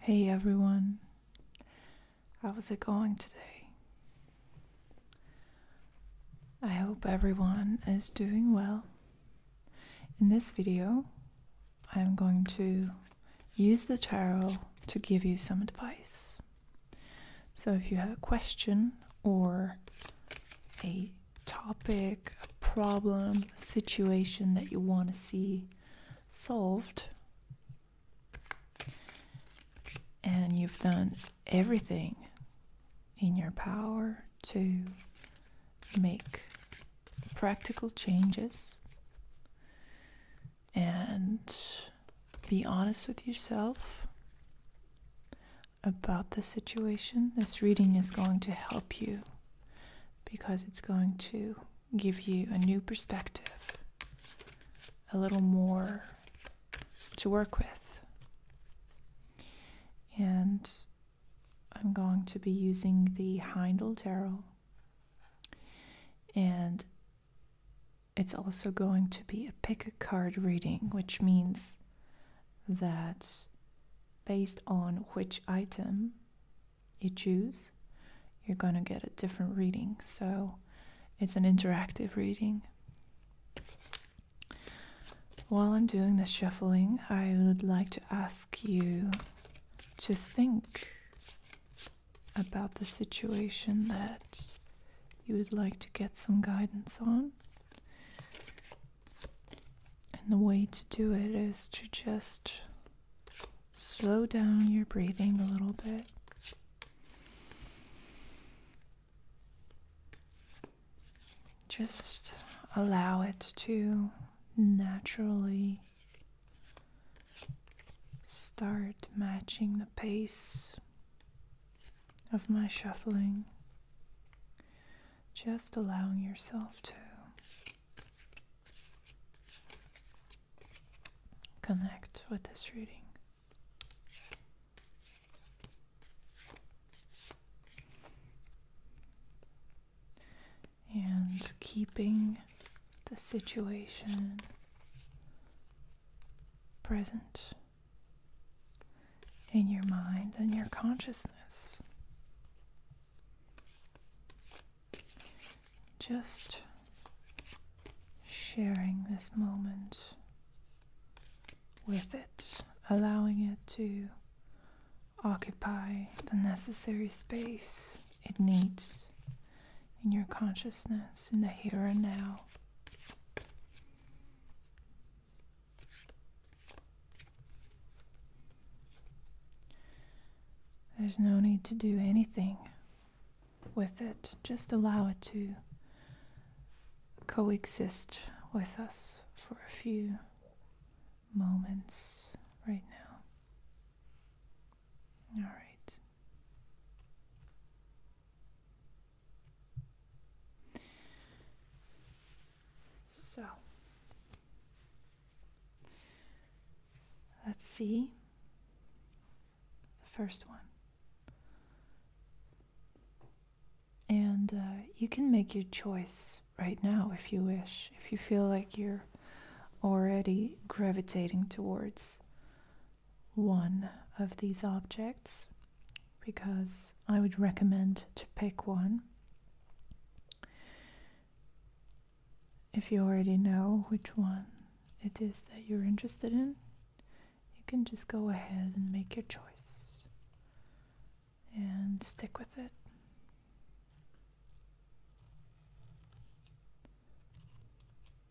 Hey everyone, how's it going today? I hope everyone is doing well. In this video, I'm going to use the tarot to give you some advice. So if you have a question or a topic, a problem, a situation that you want to see solved, and you've done everything in your power to make practical changes and be honest with yourself about the situation. This reading is going to help you because it's going to give you a new perspective, a little more to work with. And I'm going to be using the Heindel Tarot and it's also going to be a pick a card reading, which means that based on which item you choose, you're going to get a different reading. So it's an interactive reading. While I'm doing the shuffling, I would like to ask you to think about the situation that you would like to get some guidance on. And the way to do it is to just slow down your breathing a little bit. Just allow it to naturally start matching the pace of my shuffling, just allowing yourself to connect with this reading and keeping the situation present in your mind and your consciousness. Just sharing this moment with it, allowing it to occupy the necessary space it needs in your consciousness, in the here and now. There's no need to do anything with it, just allow it to coexist with us for a few moments right now. All right. So let's see the first one. And uh, you can make your choice right now if you wish, if you feel like you're already gravitating towards one of these objects, because I would recommend to pick one. If you already know which one it is that you're interested in, you can just go ahead and make your choice and stick with it.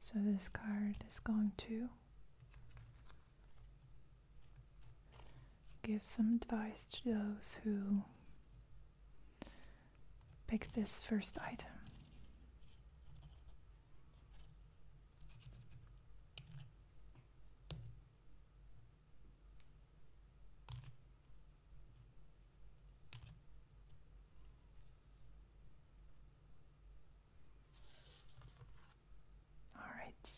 So this card is going to give some advice to those who pick this first item. All right.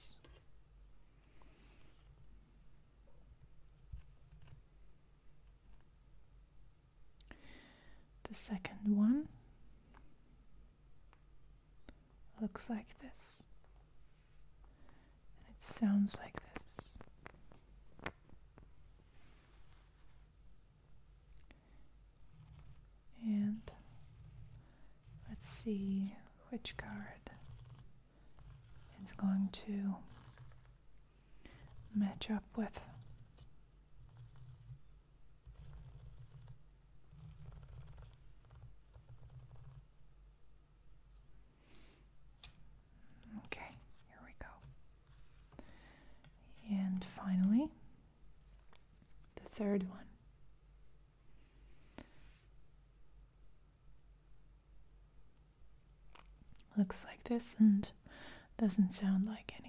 The second one looks like this. And it sounds like this. And let's see which card is going to match up with. Okay, here we go. And finally, the third one. Looks like this and doesn't sound like anything.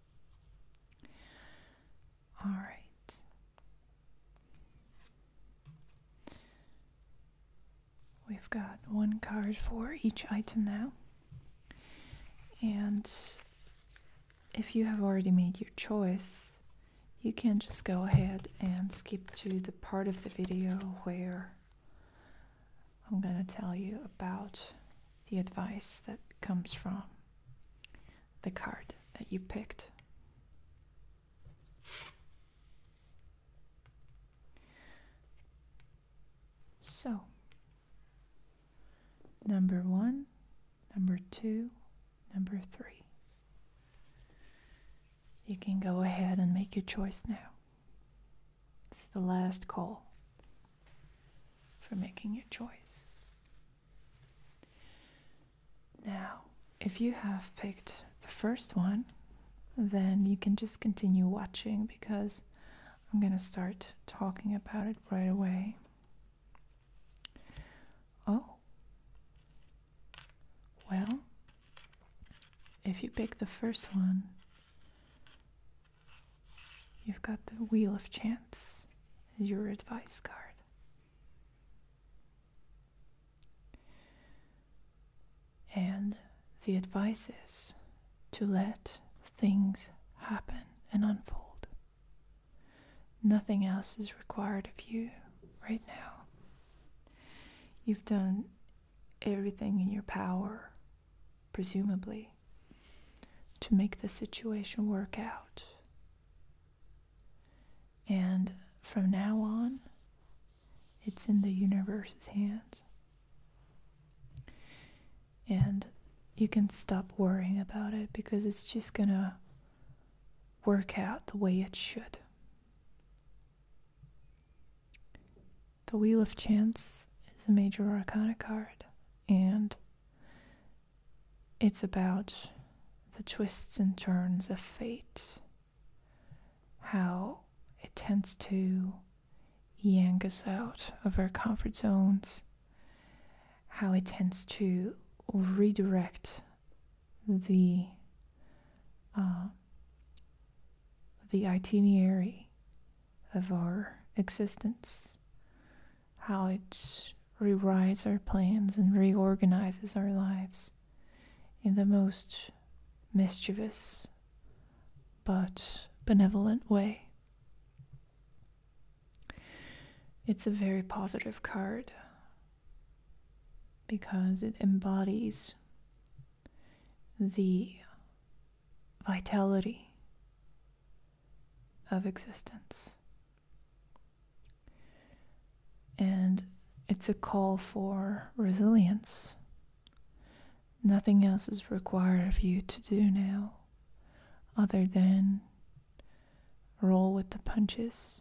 All right. We've got one card for each item now. And if you have already made your choice, you can just go ahead and skip to the part of the video where I'm going to tell you about the advice that comes from the card that you picked. So, number one, number two, number three. You can go ahead and make your choice now. It's the last call for making your choice. Now, if you have picked the first one, then you can just continue watching because I'm going to start talking about it right away. Oh. Well, if you pick the first one, You've got the Wheel of Chance as your advice card. And the advice is to let things happen and unfold. Nothing else is required of you right now. You've done everything in your power, presumably, to make the situation work out. And from now on, it's in the universe's hands. And you can stop worrying about it because it's just gonna work out the way it should. The Wheel of Chance is a major arcana card, and it's about the twists and turns of fate, how it tends to yank us out of our comfort zones, how it tends to redirect the uh, the itinerary of our existence, how it rewrites our plans and reorganizes our lives in the most mischievous but benevolent way. It's a very positive card because it embodies the vitality of existence. And it's a call for resilience. Nothing else is required of you to do now other than roll with the punches.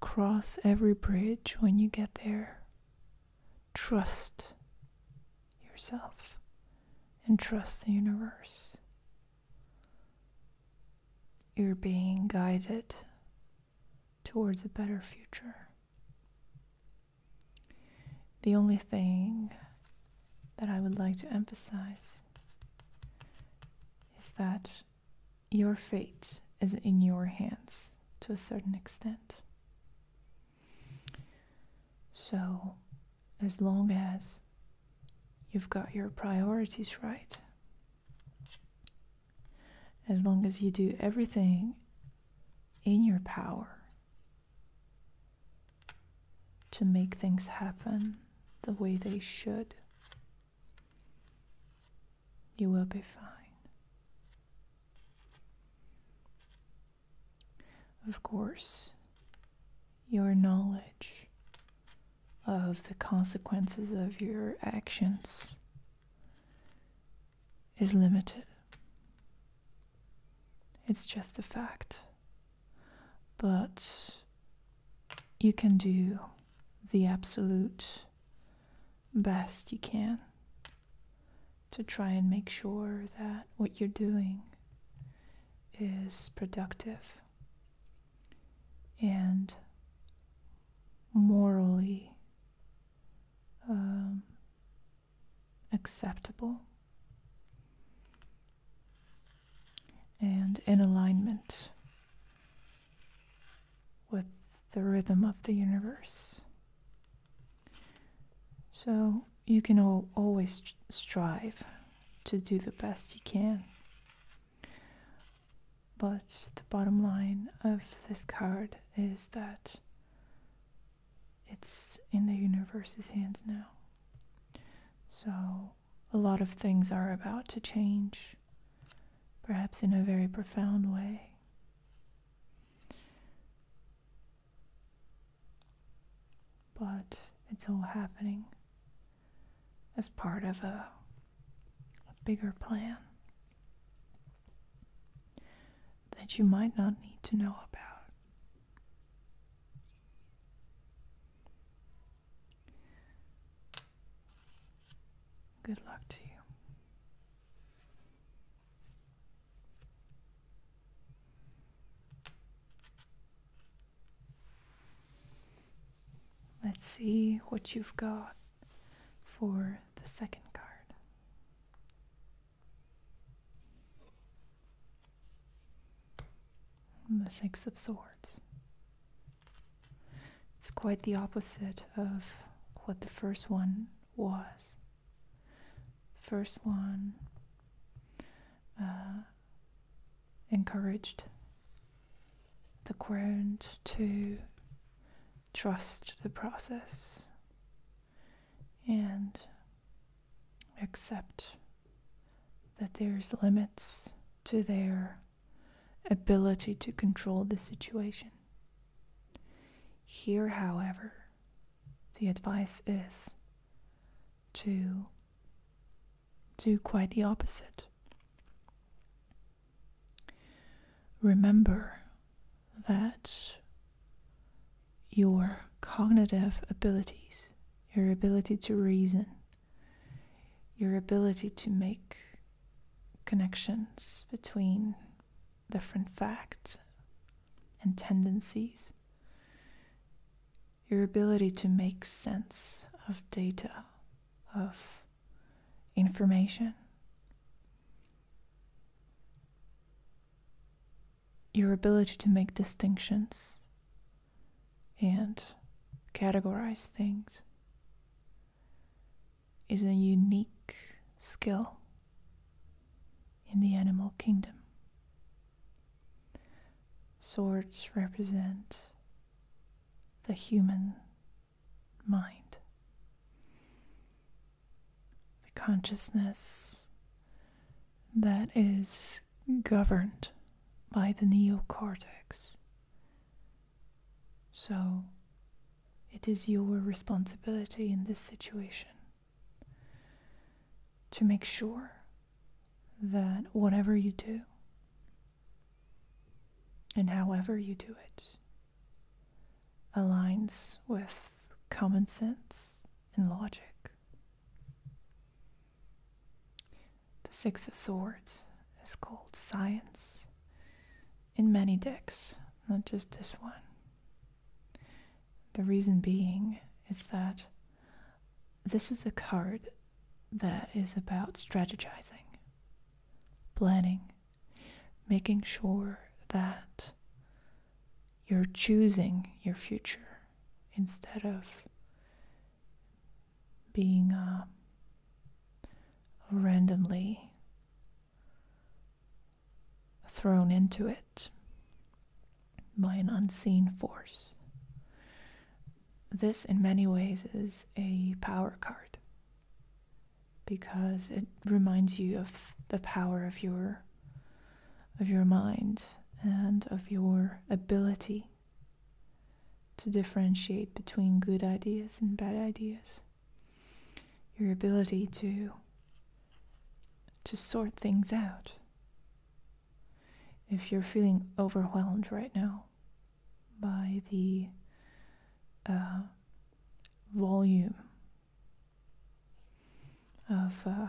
Cross every bridge when you get there trust yourself and trust the universe. You're being guided towards a better future. The only thing that I would like to emphasize is that your fate is in your hands to a certain extent. So, as long as you've got your priorities right, as long as you do everything in your power to make things happen the way they should, you will be fine. Of course, your knowledge of the consequences of your actions is limited. It's just a fact. But you can do the absolute best you can to try and make sure that what you're doing is productive and morally um, acceptable and in alignment with the rhythm of the universe. So you can always strive to do the best you can. But the bottom line of this card is that it's in the universe's hands now. So a lot of things are about to change, perhaps in a very profound way. But it's all happening as part of a, bigger plan that you might not need to know about. Good luck to you. Let's see what you've got for the second card. The Six of Swords. It's quite the opposite of what the first one was. First one uh, encouraged the ground to trust the process and accept that there's limits to their ability to control the situation. Here, however, the advice is to do quite the opposite. Remember that your cognitive abilities, your ability to reason, your ability to make connections between different facts and tendencies, your ability to make sense of data, of information, your ability to make distinctions and categorize things is a unique skill in the animal kingdom. Swords represent the human mind, the consciousness that is governed by the neocortex. So, it is your responsibility in this situation to make sure that whatever you do and however you do it aligns with common sense and logic. The Six of Swords is called science in many decks, not just this one. The reason being is that this is a card that is about strategizing, planning, making sure that you're choosing your future instead of being uh, randomly thrown into it by an unseen force. This, in many ways, is a power card because it reminds you of the power of your of your mind and of your ability to differentiate between good ideas and bad ideas your ability to to sort things out. If you're feeling overwhelmed right now by the uh, volume of uh,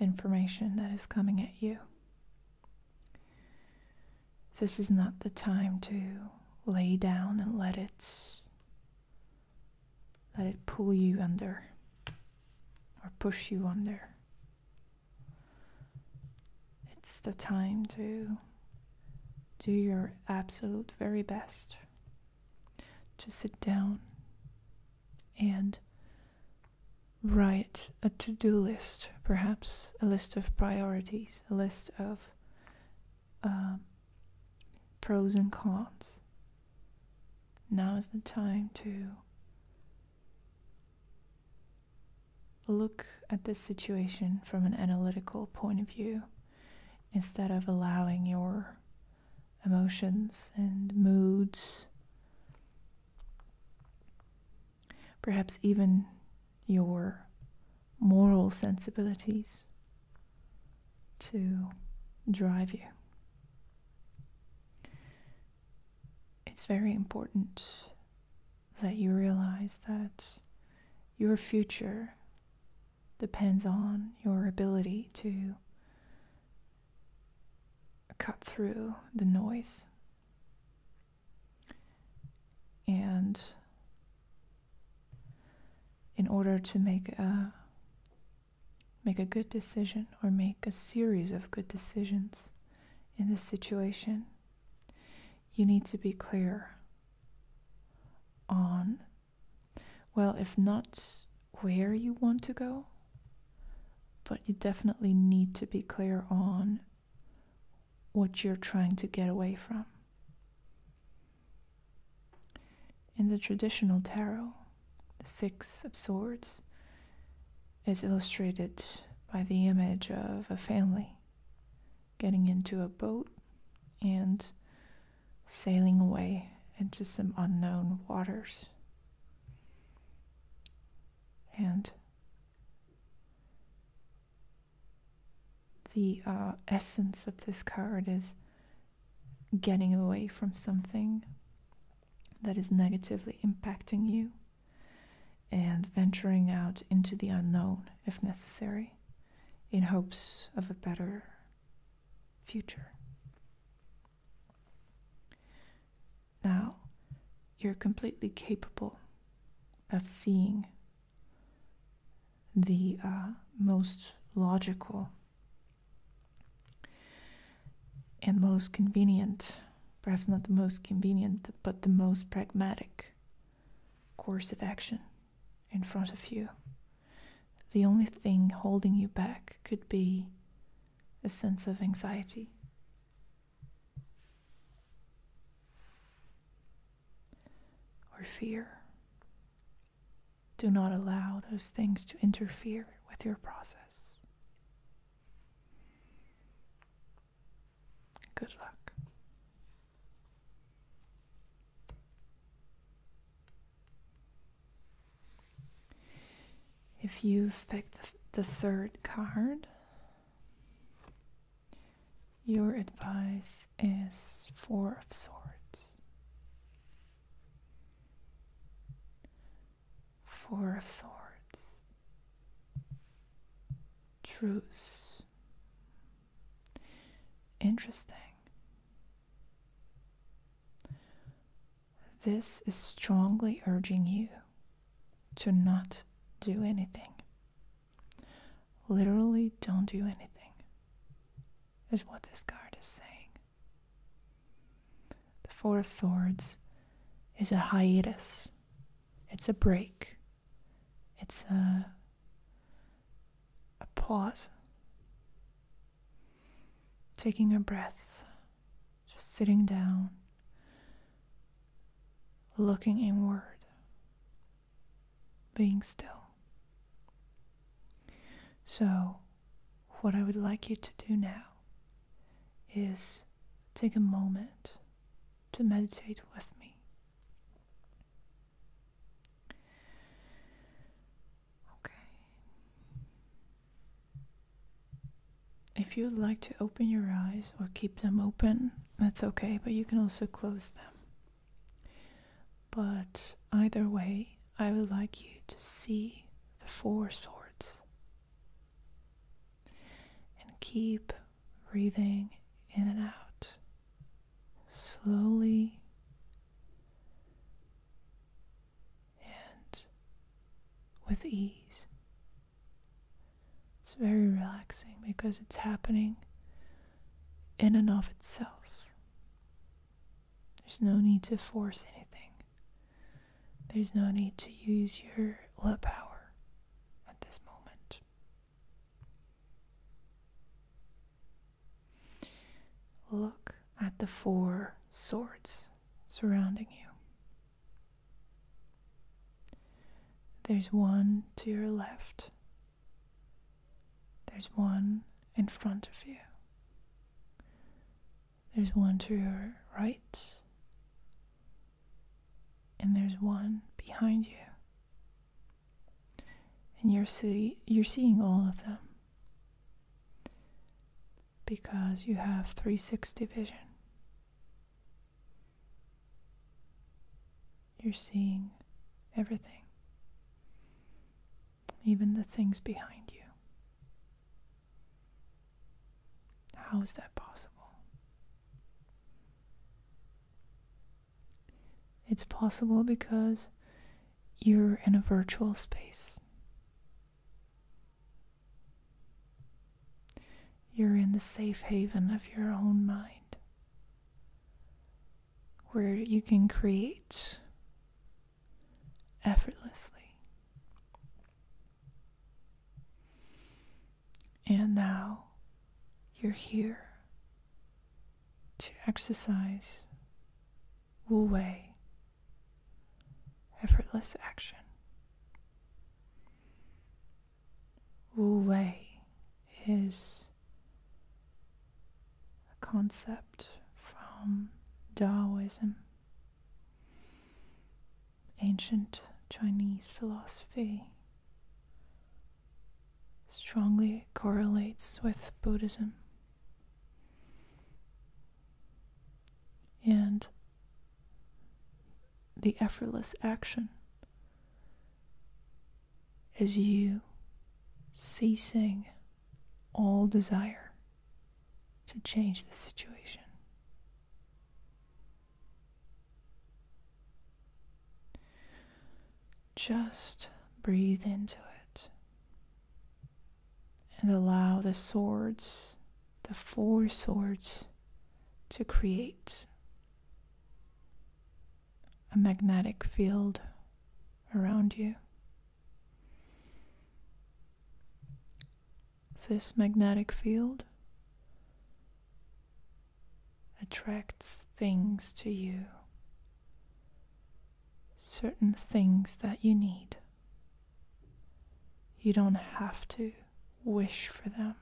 information that is coming at you, this is not the time to lay down and let it let it pull you under or push you under. It's the time to do your absolute very best to sit down and write a to do list, perhaps a list of priorities, a list of um, pros and cons. Now is the time to look at this situation from an analytical point of view instead of allowing your emotions and moods, perhaps even your moral sensibilities to drive you. It's very important that you realize that your future depends on your ability to cut through the noise and in order to make a make a good decision or make a series of good decisions in this situation, you need to be clear on, well, if not where you want to go, but you definitely need to be clear on what you're trying to get away from. In the traditional tarot, the Six of Swords is illustrated by the image of a family getting into a boat and sailing away into some unknown waters. And the uh, essence of this card is getting away from something that is negatively impacting you and venturing out into the unknown if necessary in hopes of a better future. Now, you're completely capable of seeing the uh, most logical and most convenient, perhaps not the most convenient, but the most pragmatic course of action in front of you. The only thing holding you back could be a sense of anxiety. Or fear do not allow those things to interfere with your process. Good luck. If you've picked the third card, your advice is Four of Swords. Four of Swords. Truce. Interesting. This is strongly urging you to not do anything Literally, don't do anything, is what this card is saying. The Four of Swords is a hiatus, it's a break, it's a, a pause. Taking a breath, just sitting down, looking inward, being still. So, what I would like you to do now is take a moment to meditate with me. Okay. If you would like to open your eyes or keep them open, that's okay, but you can also close them. But either way, I would like you to see the four swords and keep breathing in and out slowly and with ease. It's very relaxing because it's happening in and of itself. There's no need to force anything. There's no need to use your lip power at this moment. Look at the four swords surrounding you. There's one to your left, there's one in front of you. There's one to your right. And there's one behind you. And you're see you're seeing all of them. Because you have 360 vision. You're seeing everything, even the things behind you. How is that possible? It's possible because you're in a virtual space. You're in the safe haven of your own mind where you can create effortlessly. And now you're here to exercise Wu Wei, effortless action. Wu Wei is a concept from Taoism, ancient Chinese philosophy, strongly correlates with Buddhism. And the effortless action as you ceasing all desire to change the situation. Just breathe into it and allow the swords, the four swords, to create a magnetic field around you. This magnetic field attracts things to you, certain things that you need. You don't have to wish for them.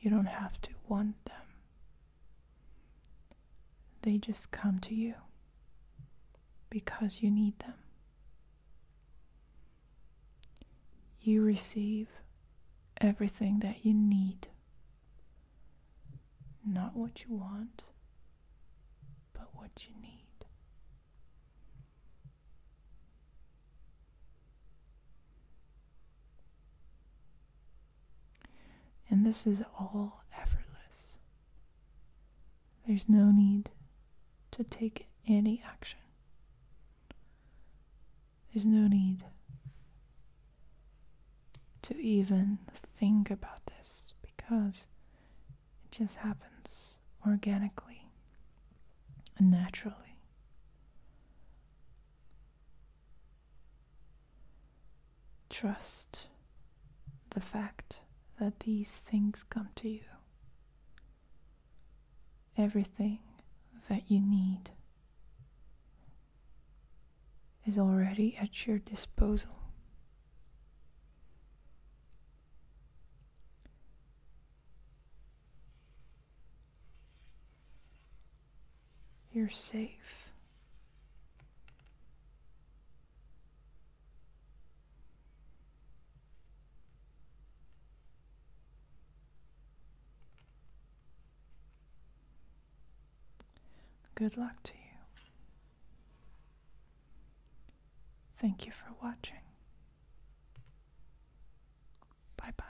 You don't have to want them. They just come to you because you need them. You receive everything that you need, not what you want, but what you need. And this is all effortless. There's no need to take any action. There's no need to even think about this because it just happens organically and naturally. Trust the fact that these things come to you. Everything that you need is already at your disposal. You're safe. Good luck to you. Thank you for watching. Bye bye.